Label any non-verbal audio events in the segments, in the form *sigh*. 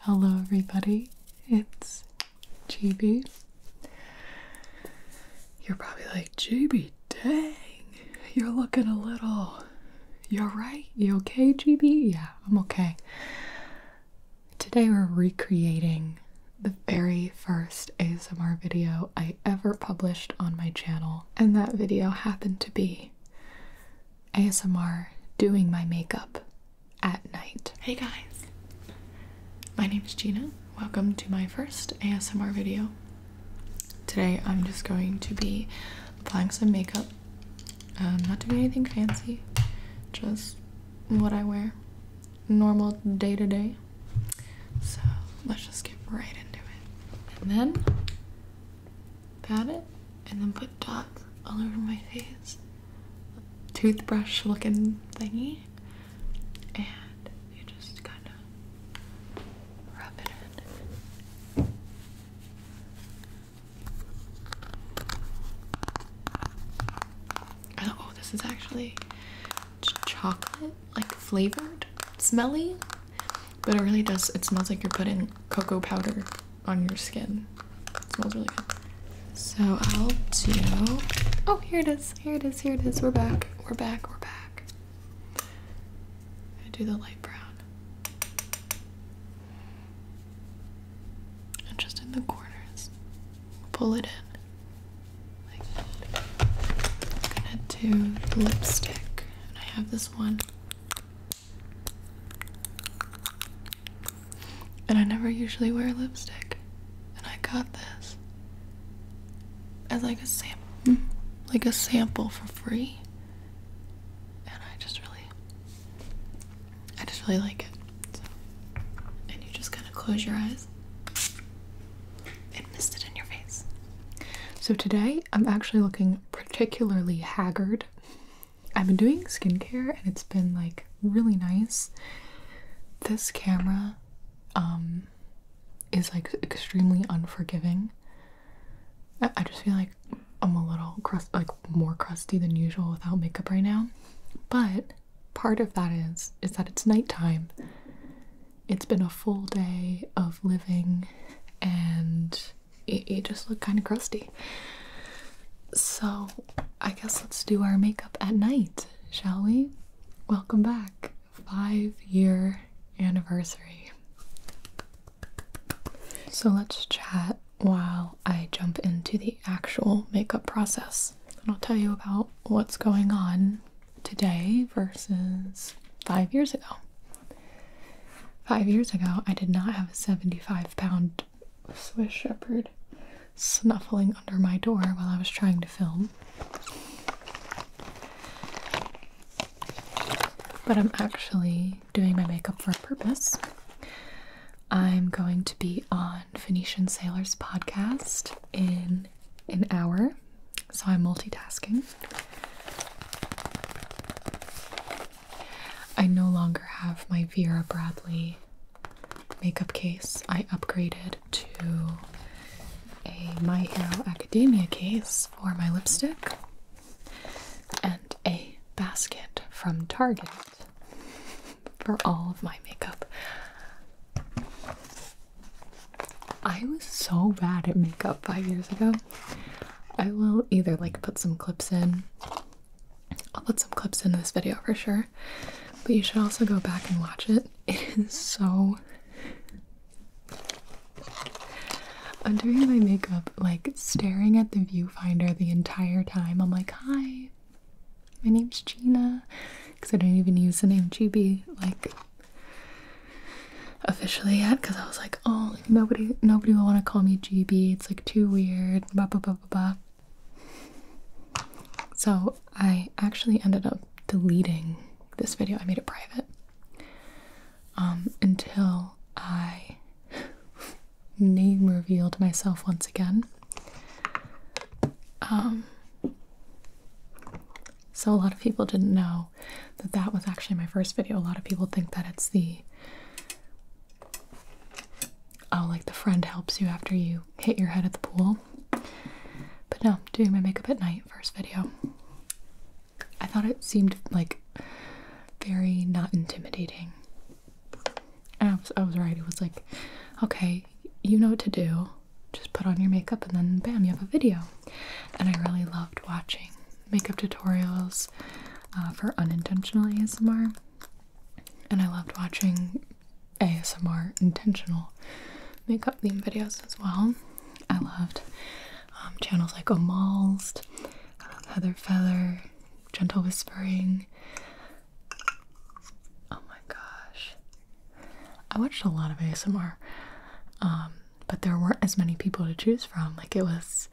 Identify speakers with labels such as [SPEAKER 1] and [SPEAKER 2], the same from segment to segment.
[SPEAKER 1] Hello, everybody. It's GB. You're probably like, GB, dang, you're looking a little. You're right. You okay, GB? Yeah, I'm okay. Today, we're recreating the very first ASMR video I ever published on my channel, and that video happened to be ASMR doing my makeup at night. Hey guys, my name is Gina. Welcome to my first ASMR video. Today I'm just going to be applying some makeup. Um, not doing anything fancy, just what I wear, normal day to day. So let's just get right into it. And then pat it, and then put dots all over my face. Toothbrush looking thingy. And you just kind of rub it in. oh, this is actually chocolate, like flavored, smelly, but it really does. It smells like you're putting cocoa powder on your skin. smells really good. So I'll do. Oh, here it is. Here it is. Here it is. We're back. We're back. We're back. I do the light brown. And just in the corners, pull it in. Like that. I'm gonna do lipstick. And I have this one. And I never usually wear lipstick. And I got this as like a sample, like a sample for free. And I just really, I just really like it. And you just kind of close your eyes and mist it in your face. So today I'm actually looking particularly haggard. I've been doing skincare and it's been like really nice. This camera um is like extremely unforgiving. I, just feel like I'm a little crust like more crusty than usual without makeup right now. But part of that is is that it's nighttime. It's been a full day of living and it, just looked kind of crusty. So I guess let's do our makeup at night, shall we? Welcome back. Five year anniversary. So let's chat while I jump into the actual makeup process. And I'll tell you about what's going on today versus five years ago. Five years ago, I did not have a 75 pound Swiss Shepherd snuffling under my door while I was trying to film. But I'm actually doing my makeup for a purpose. I'm going to be on Phoenician Sailors podcast in an hour, so I'm multitasking. I no longer have my Vera Bradley makeup case. I upgraded to a My Hero Academia case for my lipstick and a basket from Target for all of my makeup. I was so bad at makeup five years ago. I will either like put some clips in I'll put some clips into this video for sure, but you should also go back and watch it. *laughs* It is so. I'm doing my makeup like staring at the viewfinder the entire time. I'm like, hi, my name's Gina, because I didn't even use the name GB like officially yet, because I was like, oh nobody, nobody will want to call me GB. It's like too weird. Blah blah blah blah blah. So I actually ended up deleting this video. I made it private um, until I *laughs* name revealed myself once again. Um, so a lot of people didn't know that that was actually my first video. A lot of people think that it's the Oh, like the friend helps you after you hit your head at the pool. But no, doing my makeup at night, first video. I thought it seemed like very not intimidating. I was, I was right. It was like, okay, you know what to do. Just put on your makeup and then bam, you have a video. And I really loved watching makeup tutorials uh, for unintentional ASMR, and I loved watching ASMR intentional makeup theme videos as well. I loved um, channels like Amalst, uh, Heather Feather, Gentle Whispering. Oh my gosh. I watched a lot of ASMR, um, but there weren't as many people to choose from. Like, it was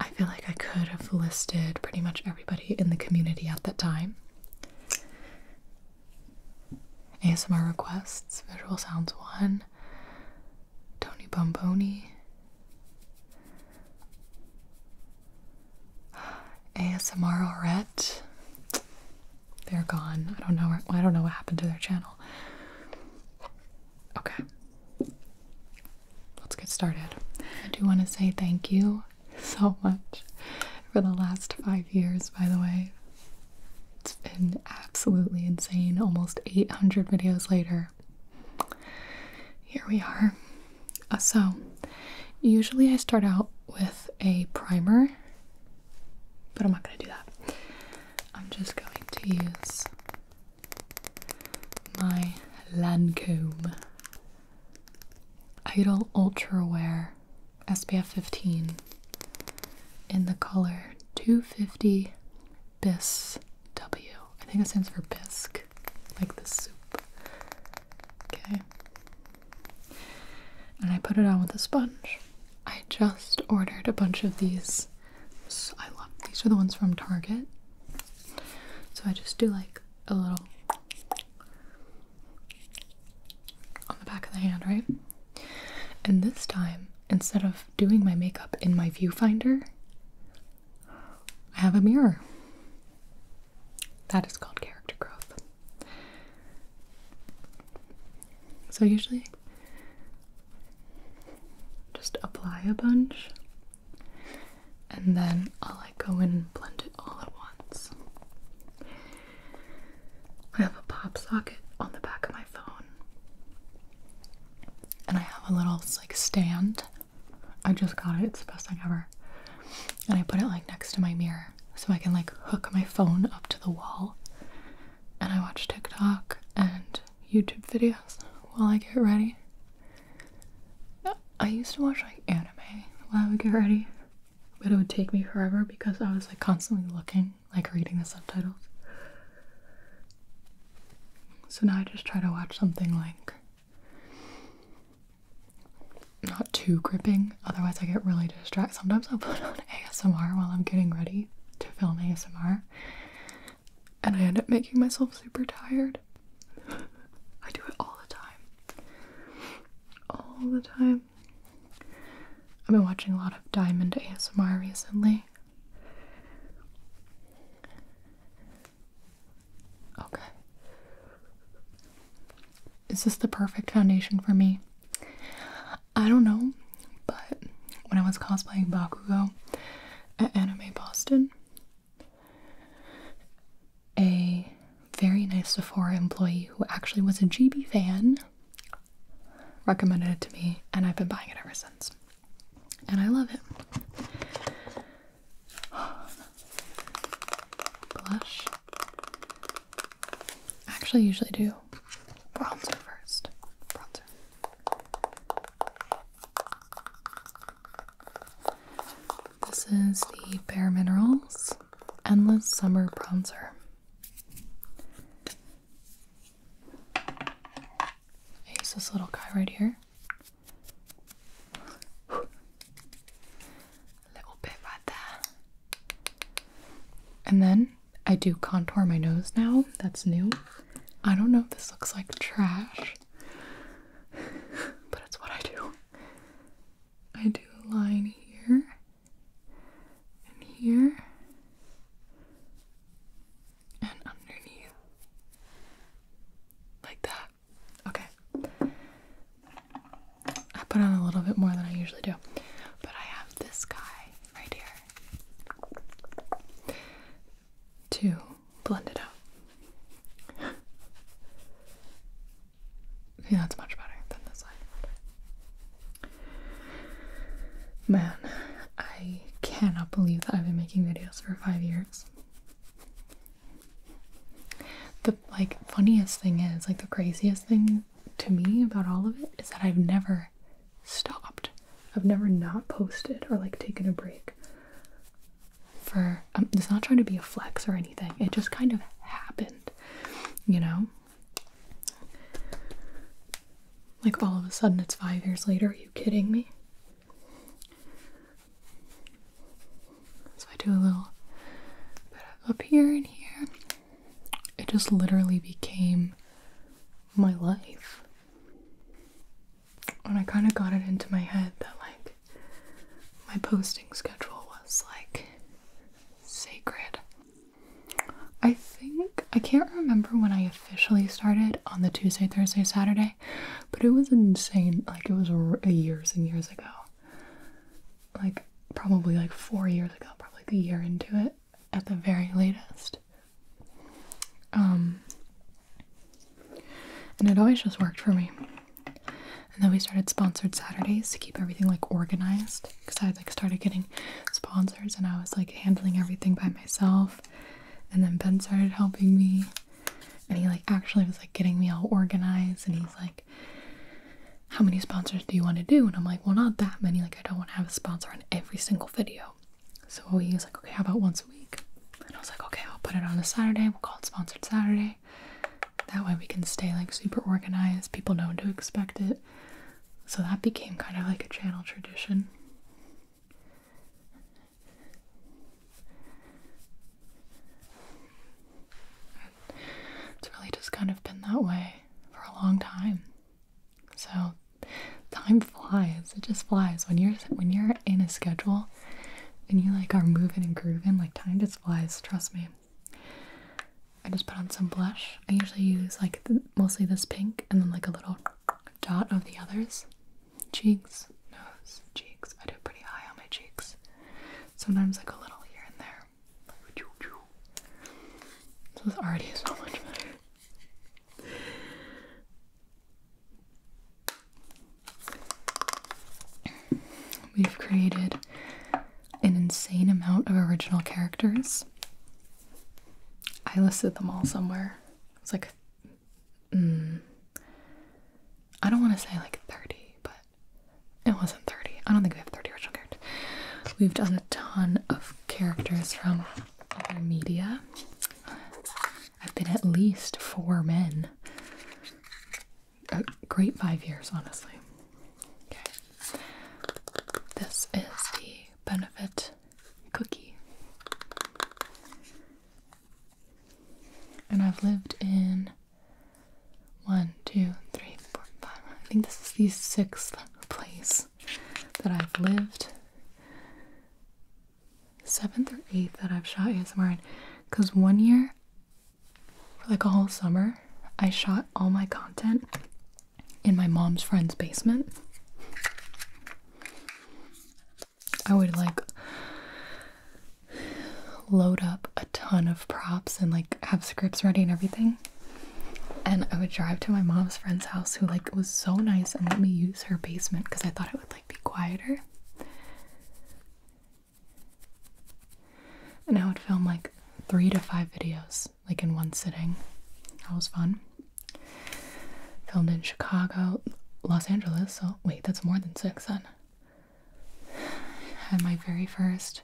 [SPEAKER 1] I feel like I could have listed pretty much everybody in the community at that time. ASMR requests, Visual Sounds 1, Tony Bomboni, ASMR Orette. They're gone. I don't know. I don't know what happened to their channel. Okay. Let's get started. I do want to say thank you so much for the last five years, by the way. It's been absolutely insane. Almost 800 videos later. Here we are. Uh, so, usually I start out with a primer, but I'm not going to do that. I'm just going to use my Lancome Idle Ultra Wear SPF 15 in the color 250 Bis W. I think it stands for bisque, like the soup. Okay. And I put it on with a sponge. I just ordered a bunch of these. I love these are the ones from Target. So I just do like a little on the back of the hand, right? And this time, instead of doing my makeup in my viewfinder, I have a mirror. That is called character growth. So, usually, just apply a bunch and then I'll like go in and blend it all at once. I have a pop socket on the back of my phone. And I have a little like stand. I just got it, it's the best thing ever. And I put it like next to my mirror so I can like hook my phone up to the wall. And I watch TikTok and YouTube videos while I get ready. I used to watch like anime while I would get ready, but it would take me forever because I was like constantly looking, like reading the subtitles. So now I just try to watch something like not too gripping, otherwise, I get really distracted. Sometimes I'll put on ASMR while I'm getting ready to film ASMR, and I end up making myself super tired. I do it all the time. All the time. I've been watching a lot of Diamond ASMR recently. Okay. Is this the perfect foundation for me? I don't know, but when I was cosplaying Bakugo at Anime Boston, a very nice Sephora employee who actually was a GB fan recommended it to me, and I've been buying it ever since. And I love it. Blush. I actually usually do bronzer first. This is the Bare Minerals Endless Summer Bronzer. I use this little guy right here. A little bit right there. And then I do contour my nose now. That's new. I don't know if this looks like trash, *laughs* but it's what I do. I do a line here and here and underneath, like that. Okay. I put on a little bit more than I usually do, but I have this guy right here to blend it out. yeah, that's much better than this side. Man, I cannot believe that I've been making videos for five years. The like funniest thing is, like the craziest thing to me about all of it is that I've never stopped. I've never not posted or like taken a break. For um, it's not trying to be a flex or anything. It just kind of happened, you know. Like all of a sudden, it's five years later. Are you kidding me? So I do a little bit up here and here. It just literally became my life. When I kind of got it into my head that like my posting schedule was like sacred. I think I can't remember when I officially started on the Tuesday, Thursday, Saturday, but it was insane. Like it was years and years ago. Like probably like 4 years ago, probably like a year into it at the very latest. Um, and it always just worked for me. And then we started sponsored Saturdays to keep everything like organized because I like started getting sponsors and I was like handling everything by myself. And then Ben started helping me and he like actually was like getting me all organized and he's like how many sponsors do you want to do? And I'm like, well, not that many. Like, I don't want to have a sponsor on every single video. So he was like, okay, how about once a week? And I was like, okay, I'll put it on a Saturday. We'll call it Sponsored Saturday. That way we can stay like super organized. People know to expect it. So that became kind of like a channel tradition. It's really just kind of been that way for a long time. So, time flies. It just flies. When you're when you're in a schedule and you like are moving and grooving, like time just flies, trust me. I just put on some blush. I usually use like mostly this pink and then like a little dot of the others. Cheeks, nose, cheeks. I do pretty high on my cheeks. Sometimes like a little here and there. Like, choo is so much better. We've created an insane amount of original characters. I listed them all somewhere. It's like, hmm, I don't want to say like 30, but it wasn't 30. I don't think we have 30 original characters. We've done a ton of characters from other media. I've been at least four men. A uh, great five years, honestly. Okay. This is the benefit cookie. And I've lived in one, two, three, four, five. I think this is the sixth place that I've lived seventh or eighth that I've shot ASMR in. Because one year, for like a whole summer, I shot all my content in my mom's friend's basement. I would like load up a ton of props and like have scripts ready and everything. And I would drive to my mom's friend's house who like was so nice and let me use her basement because I thought it would like be quieter. And I would film like three to five videos, like in one sitting. That was fun. Filmed in Chicago, Los Angeles, so wait, that's more than six then. Had my very first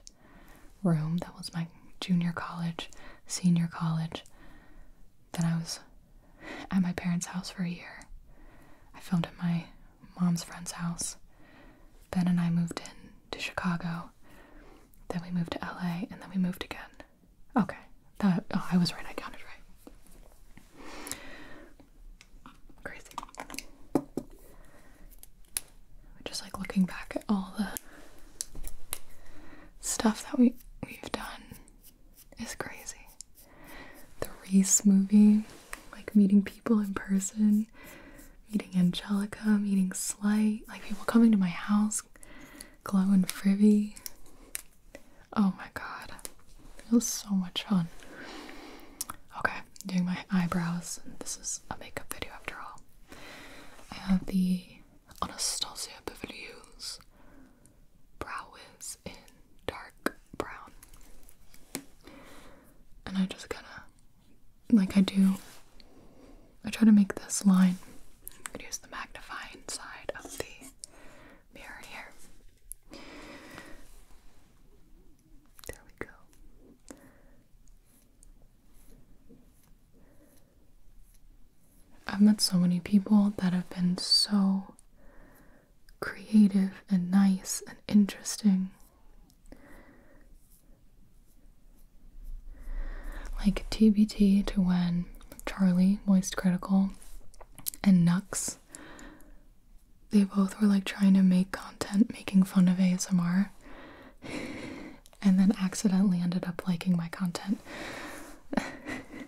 [SPEAKER 1] room, that was my junior college, senior college. Then I was at my parents' house for a year. I filmed at my mom's friend's house. Ben and I moved in to Chicago. Then we moved to LA and then we moved again. Okay. Oh, I was right. I counted right. Crazy. Just like looking back at all the stuff that we we've done it's crazy. The Reese movie, like meeting people in person, meeting Angelica, meeting Slight, like people coming to my house, Glow and Frivy. Oh my god. It was so much fun. Okay, doing my eyebrows. This is a makeup video after all. I have the Anastasia Beverly Hills Brow Wiz in dark brown. And I just kind of, like I do, I try to make this line. I'm going to use the magnifying side of the mirror here. There we go. I've met so many people that have been so creative and nice and interesting. Like TBT to when Charlie, Moist Critical, and Nux, they both were like trying to make content making fun of ASMR *laughs* and then accidentally ended up liking my content. *laughs*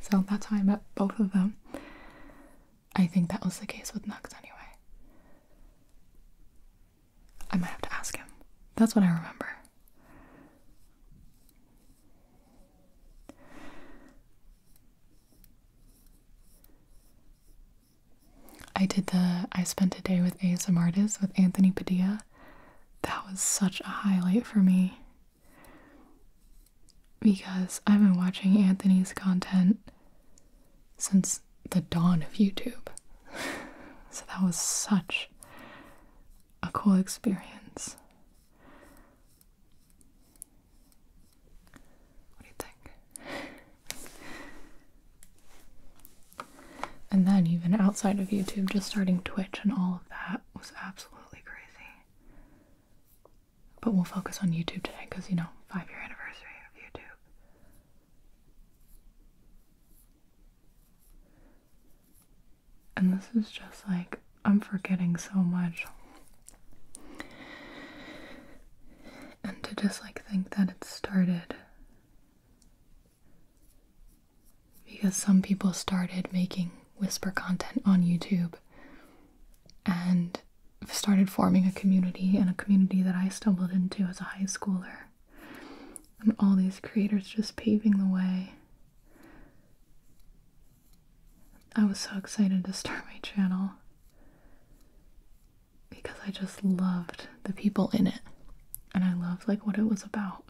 [SPEAKER 1] so that's how I met both of them. I think that was the case with Nux anyway. I might have to ask him. That's what I remember. I did the I spent a day with ASM with Anthony Padilla. That was such a highlight for me because I've been watching Anthony's content since the dawn of YouTube. *laughs* so that was such a cool experience. What do you think? And then, even outside of YouTube, just starting Twitch and all of that was absolutely crazy. But we'll focus on YouTube today because, you know, five year anniversary of YouTube. And this is just like, I'm forgetting so much. And to just like think that it started. Because some people started making whisper content on YouTube and started forming a community and a community that I stumbled into as a high schooler. And all these creators just paving the way. I was so excited to start my channel because I just loved the people in it and I loved like what it was about.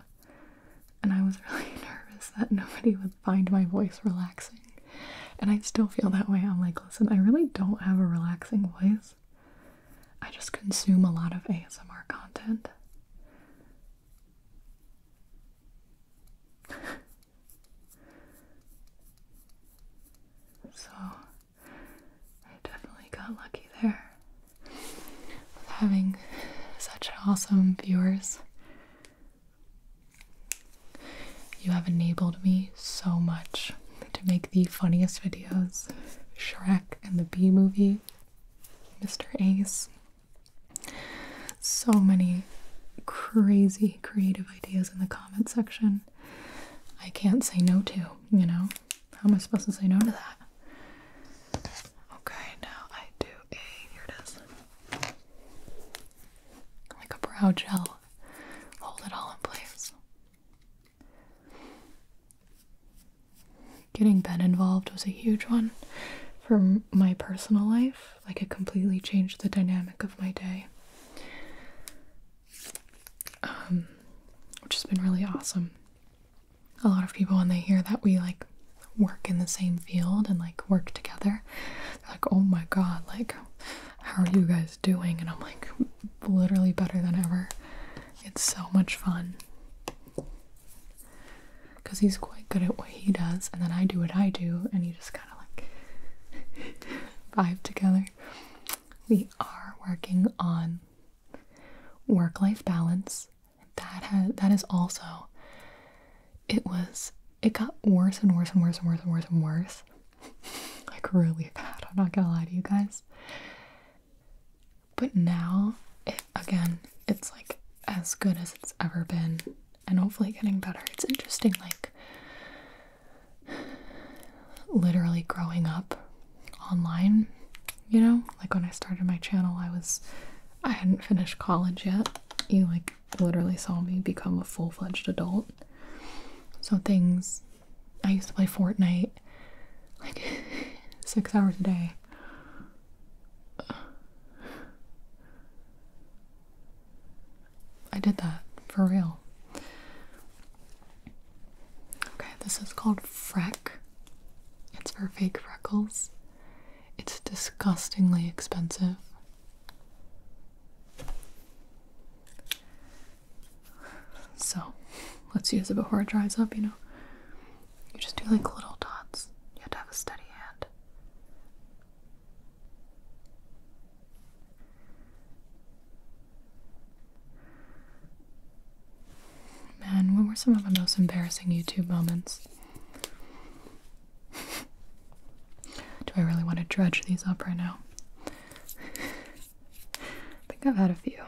[SPEAKER 1] And I was really *laughs* nervous that nobody would find my voice relaxing. And I still feel that way. I'm like, listen, I really don't have a relaxing voice. I just consume a lot of ASMR content. *laughs* so, I definitely got lucky there with having such awesome viewers. You have enabled me so much to make the funniest videos Shrek and the B movie, Mr. Ace. So many crazy creative ideas in the comment section. I can't say no to, you know? How am I supposed to say no to that? Okay, now I do Okay, here it is. Like a brow gel. Hold it all in place. Getting Ben involved was a huge one for my personal life. Like, it completely changed the dynamic of my day, um, which has been really awesome. A lot of people, when they hear that we like work in the same field and like work together. like, oh my god, like, how are you guys doing? And I'm like, literally better than ever. It's so much fun. Because he's quite good at what he does, and then I do what I do, and you just kind of like *laughs* vibe together. We are working on work life balance that has, that is also it was it got worse and worse and worse and worse and worse and worse *laughs* like really bad i'm not gonna lie to you guys but now it again it's like as good as it's ever been and hopefully getting better it's interesting like literally growing up online you know like when i started my channel i was i hadn't finished college yet you like literally saw me become a full-fledged adult so things i used to play fortnite like *laughs* six hours a day i did that for real okay this is called freck it's for fake freckles it's disgustingly expensive. So let's use it before it dries up, you know. You just do like little dots. You have to have a steady hand. Man, what were some of the most embarrassing YouTube moments? Do I really want to dredge these up right now? I think I've had a few.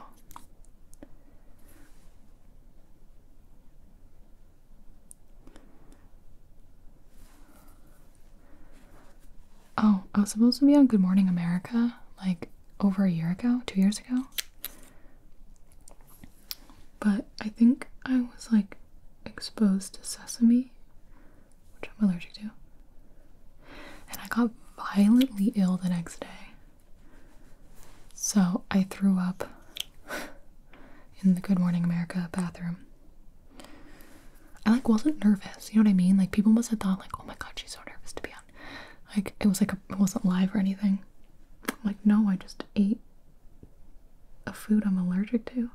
[SPEAKER 1] Oh, I was supposed to be on Good Morning America like over a year ago, two years ago. But I think I was like exposed to sesame, which I'm allergic to. And I got violently ill the next day. So I threw up *laughs* in the Good Morning America bathroom. I like wasn't nervous, you know what I mean? Like people must have thought like, oh my god, she's so nervous to be on. Like it was like it wasn't live or anything. like no, I just ate a food I'm allergic to.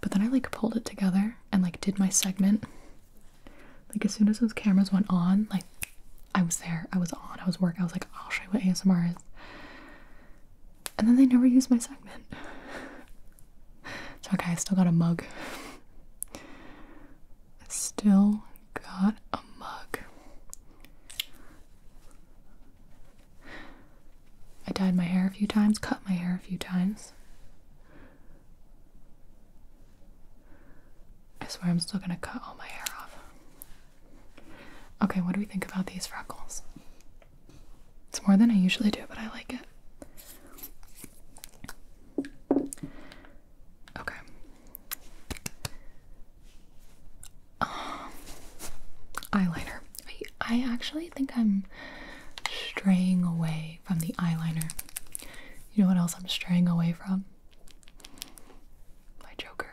[SPEAKER 1] But then I like pulled it together and like did my segment. Like as soon as those cameras went on, like I was there, I was on, I was working, I was like, I'll oh, show you what ASMR is. And then they never used my segment. *laughs* So okay, I still got a mug. still got a mug. I dyed my hair a few times, cut my hair a few times. I swear I'm still gonna cut all my hair off. Okay, what do we think about these freckles? It's more than I usually do, but I like it. Okay. Um, eyeliner. I, I actually think I'm straying away from the eyeliner. You know what else I'm straying away from? My Joker.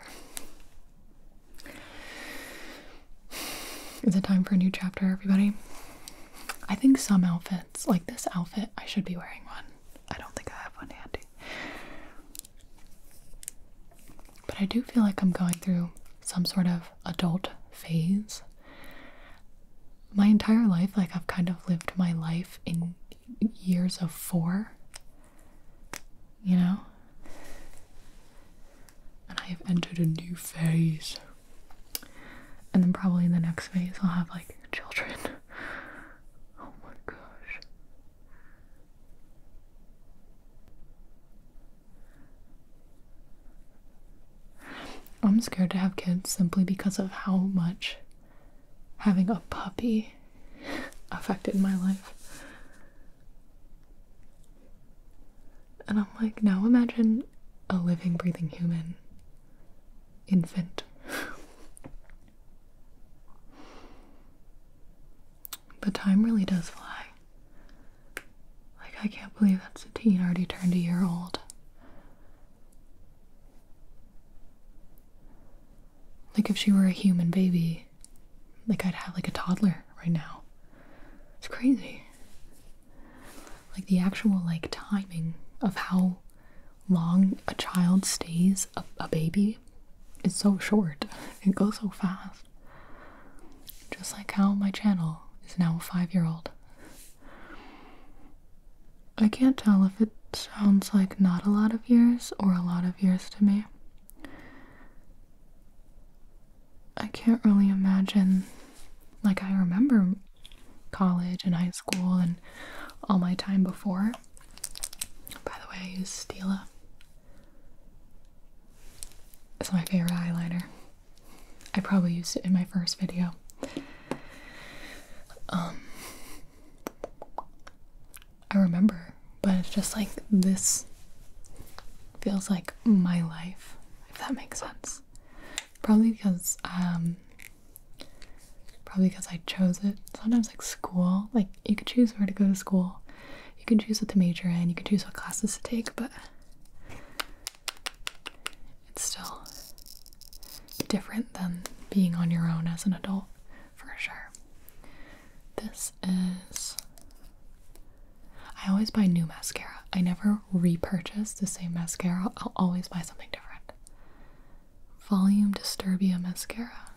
[SPEAKER 1] Is it time for a new chapter, everybody? I think some outfits, like this outfit, I should be wearing one. I don't think I have one handy. But I do feel like I'm going through some sort of adult phase. My entire life, like I've kind of lived my life in years of four, you know? And I have entered a new phase. And then probably in the next phase, I'll have like children. *laughs* Oh my gosh. I'm scared to have kids simply because of how much having a puppy affected my life. And I'm like, now imagine a living, breathing human infant. But time really does fly. Like, I can't believe that Satine already turned a year old. Like, if she were a human baby, like, I'd have like a toddler right now. It's crazy. Like, the actual, like, timing of how long a child stays a, a baby is so short. *laughs* It goes so fast. Just like how my channel is now a five year old. I can't tell if it sounds like not a lot of years or a lot of years to me. I can't really imagine, like, I remember college and high school and all my time before. By the way, I use Stila. It's my favorite eyeliner. I probably used it in my first video. Um, I remember, but it's just like this feels like my life, if that makes sense. Probably because, um, probably because I chose it. Sometimes, like school, like you could choose where to go to school, you can choose what to major and you can choose what classes to take, but it's still different than being on your own as an adult for sure. This is. I always buy new mascara. I never repurchase the same mascara. I'll always buy something different. Volume Disturbia mascara.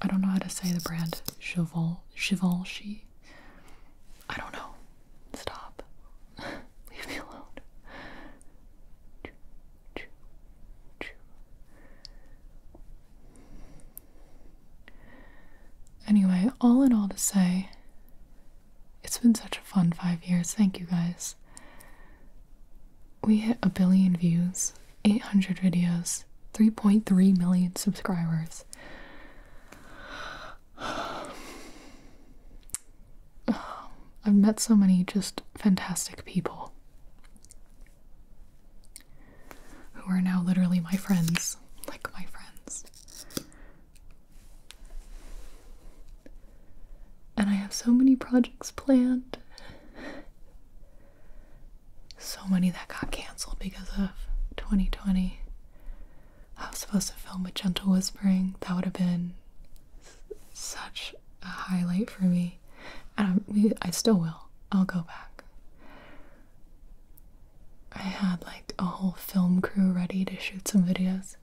[SPEAKER 1] I don't know how to say the brand. Chivol Givenchy. I don't know. Stop. *laughs* Leave me alone. Anyway, all in all to say, it's been such a fun five years. Thank you guys. We hit a billion views, 800 videos, 3.3 million subscribers. *sighs* I've met so many just fantastic people who are now literally my friends, like my friends. And I have so many projects planned so many that got canceled because of 2020. I was supposed to film with Gentle Whispering. That would have been such a highlight for me. And I, I still will. I'll go back. I had like a whole film crew ready to shoot some videos.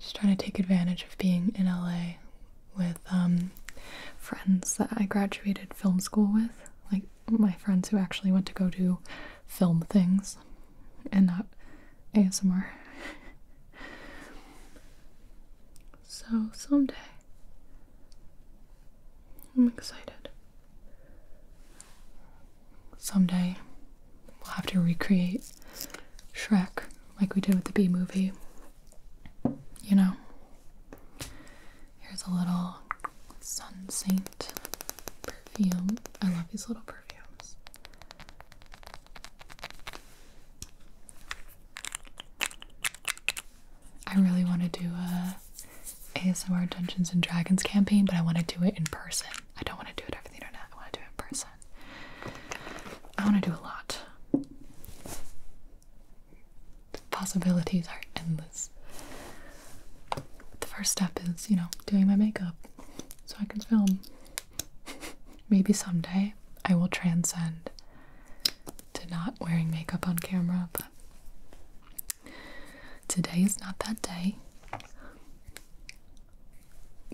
[SPEAKER 1] Just trying to take advantage of being in LA with um, friends that I graduated film school with, like my friends who actually went to go do film things and not ASMR. *laughs* so someday, I'm excited. Someday, we'll have to recreate Shrek like we did with the B movie. You know? Here's a little Sun Saint perfume. I love these little perfumes. I really want to do a ASMR Dungeons and Dragons campaign, but I want to do it in person. I don't want to do it over the internet. I want to do it in person. I want to do a lot possibilities are endless. the first step is, you know, doing my makeup so I can film. Maybe someday I will transcend to not wearing makeup on camera, but today is not that day.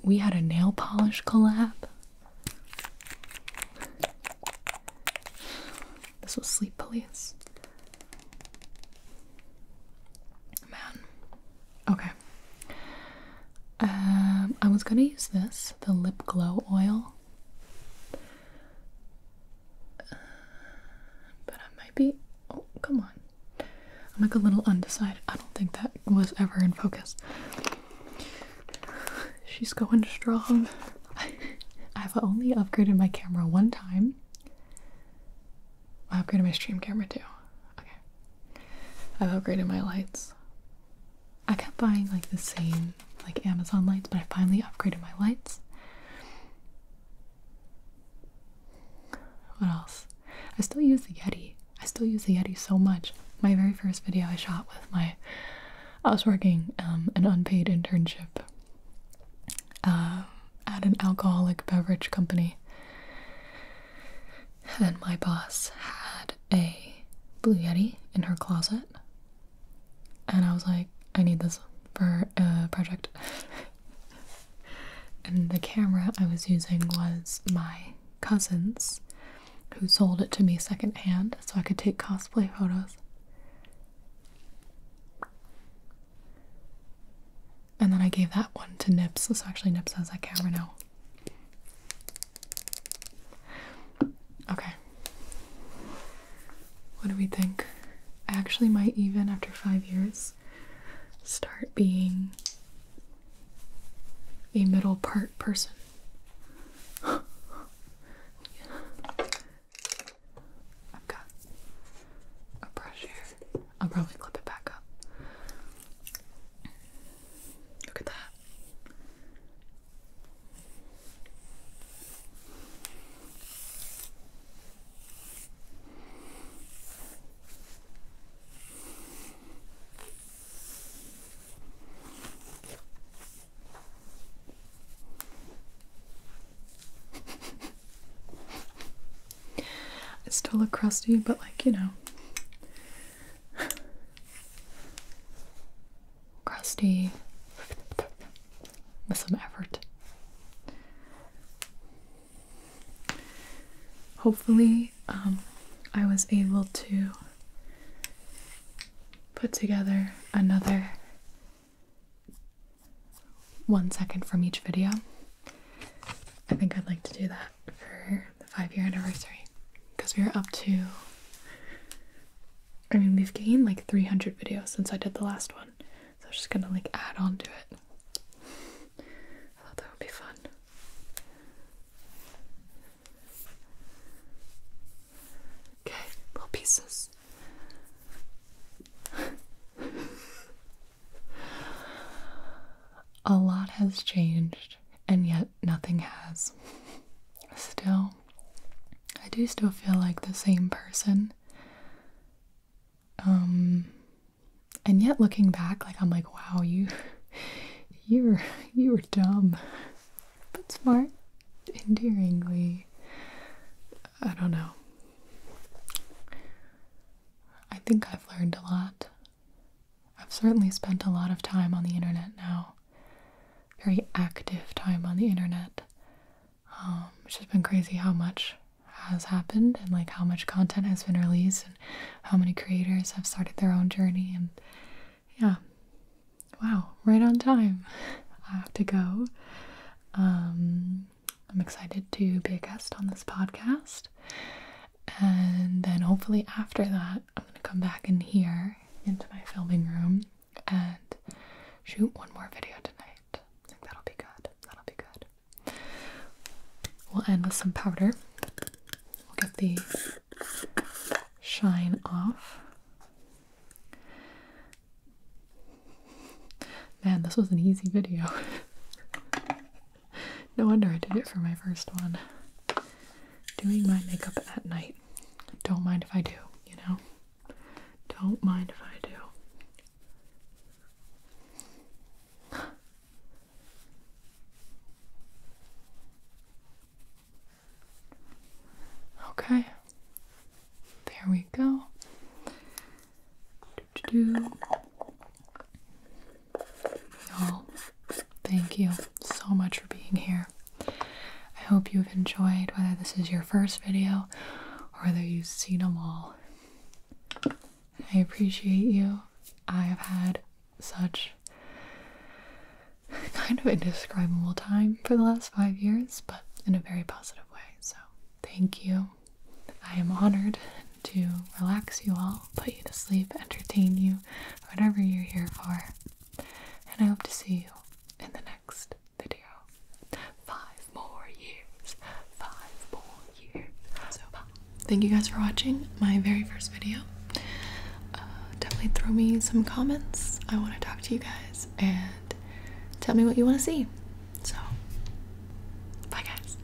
[SPEAKER 1] We had a nail polish collab. This was sleep police. Man. Okay. Um, I was gonna use this, the lip glow oil. but I might be. Oh, come on. I'm like a little undecided. I don't think that was ever in focus. *sighs* She's going strong. I've only upgraded my camera one time. I upgraded my stream camera too. Okay. I've upgraded my lights. I kept buying like the same like Amazon lights, but I finally upgraded my lights. What else? I still use the Yeti. I still use the Yeti so much. My very first video I shot with my I was working um, an unpaid internship uh, at an alcoholic beverage company, and my boss had a Blue Yeti in her closet, and I was like, I need this for a uh, project. *laughs* and the camera I was using was my cousins who sold it to me secondhand so I could take cosplay photos. And then I gave that one to Nips. This actually Nips has that camera now. Okay. What do we think? I actually might even, after five years, start being a middle part person. I've got a brush here. I'll probably clip it back up. Look at that. I still look crusty, but like, you know. crusty with some effort. Hopefully, um, I was able to put together another one second from each video. I think I'd like to do that for the five year anniversary because we are up to, I mean, we've gained like 300 videos since I did the last one. So I'm just gonna like add on to it. I thought that would be fun. Okay, little pieces. A lot has changed, and yet nothing has. Still, I do still feel like the same person. Um, and yet looking back, like I'm like, wow, you, *laughs* you're, you were dumb but smart, endearingly. I don't know. I think I've learned a lot. I've certainly spent a lot of time on the internet now. Very active time on the internet. Um, it's just been crazy how much has happened and like how much content has been released and how many creators have started their own journey and yeah wow right on time i have to go um i'm excited to be a guest on this podcast and then hopefully after that i'm going to come back in here into my filming room and shoot one more video tonight i think that'll be good that'll be good we'll end with some powder we'll get the shine off. Man, this was an easy video. *laughs* no wonder I did it for my first one. Doing my makeup at night. Don't mind if I do, you know? Don't mind if I do. Okay, there we go. Y'all, oh, thank you so much for being here. I hope you've enjoyed whether this is your first video or whether you've seen them all. I appreciate you. I have had such *laughs* kind of indescribable time for the last five years, but in a very positive way. So, thank you. I am honored to relax you all, put you to sleep, entertain you, whatever you're here for. And I hope to see you in the next video. Five more years. Five more years. So, thank you guys for watching my very first video. Uh, definitely throw me some comments. I want to talk to you guys and tell me what you want to see. So, bye, guys.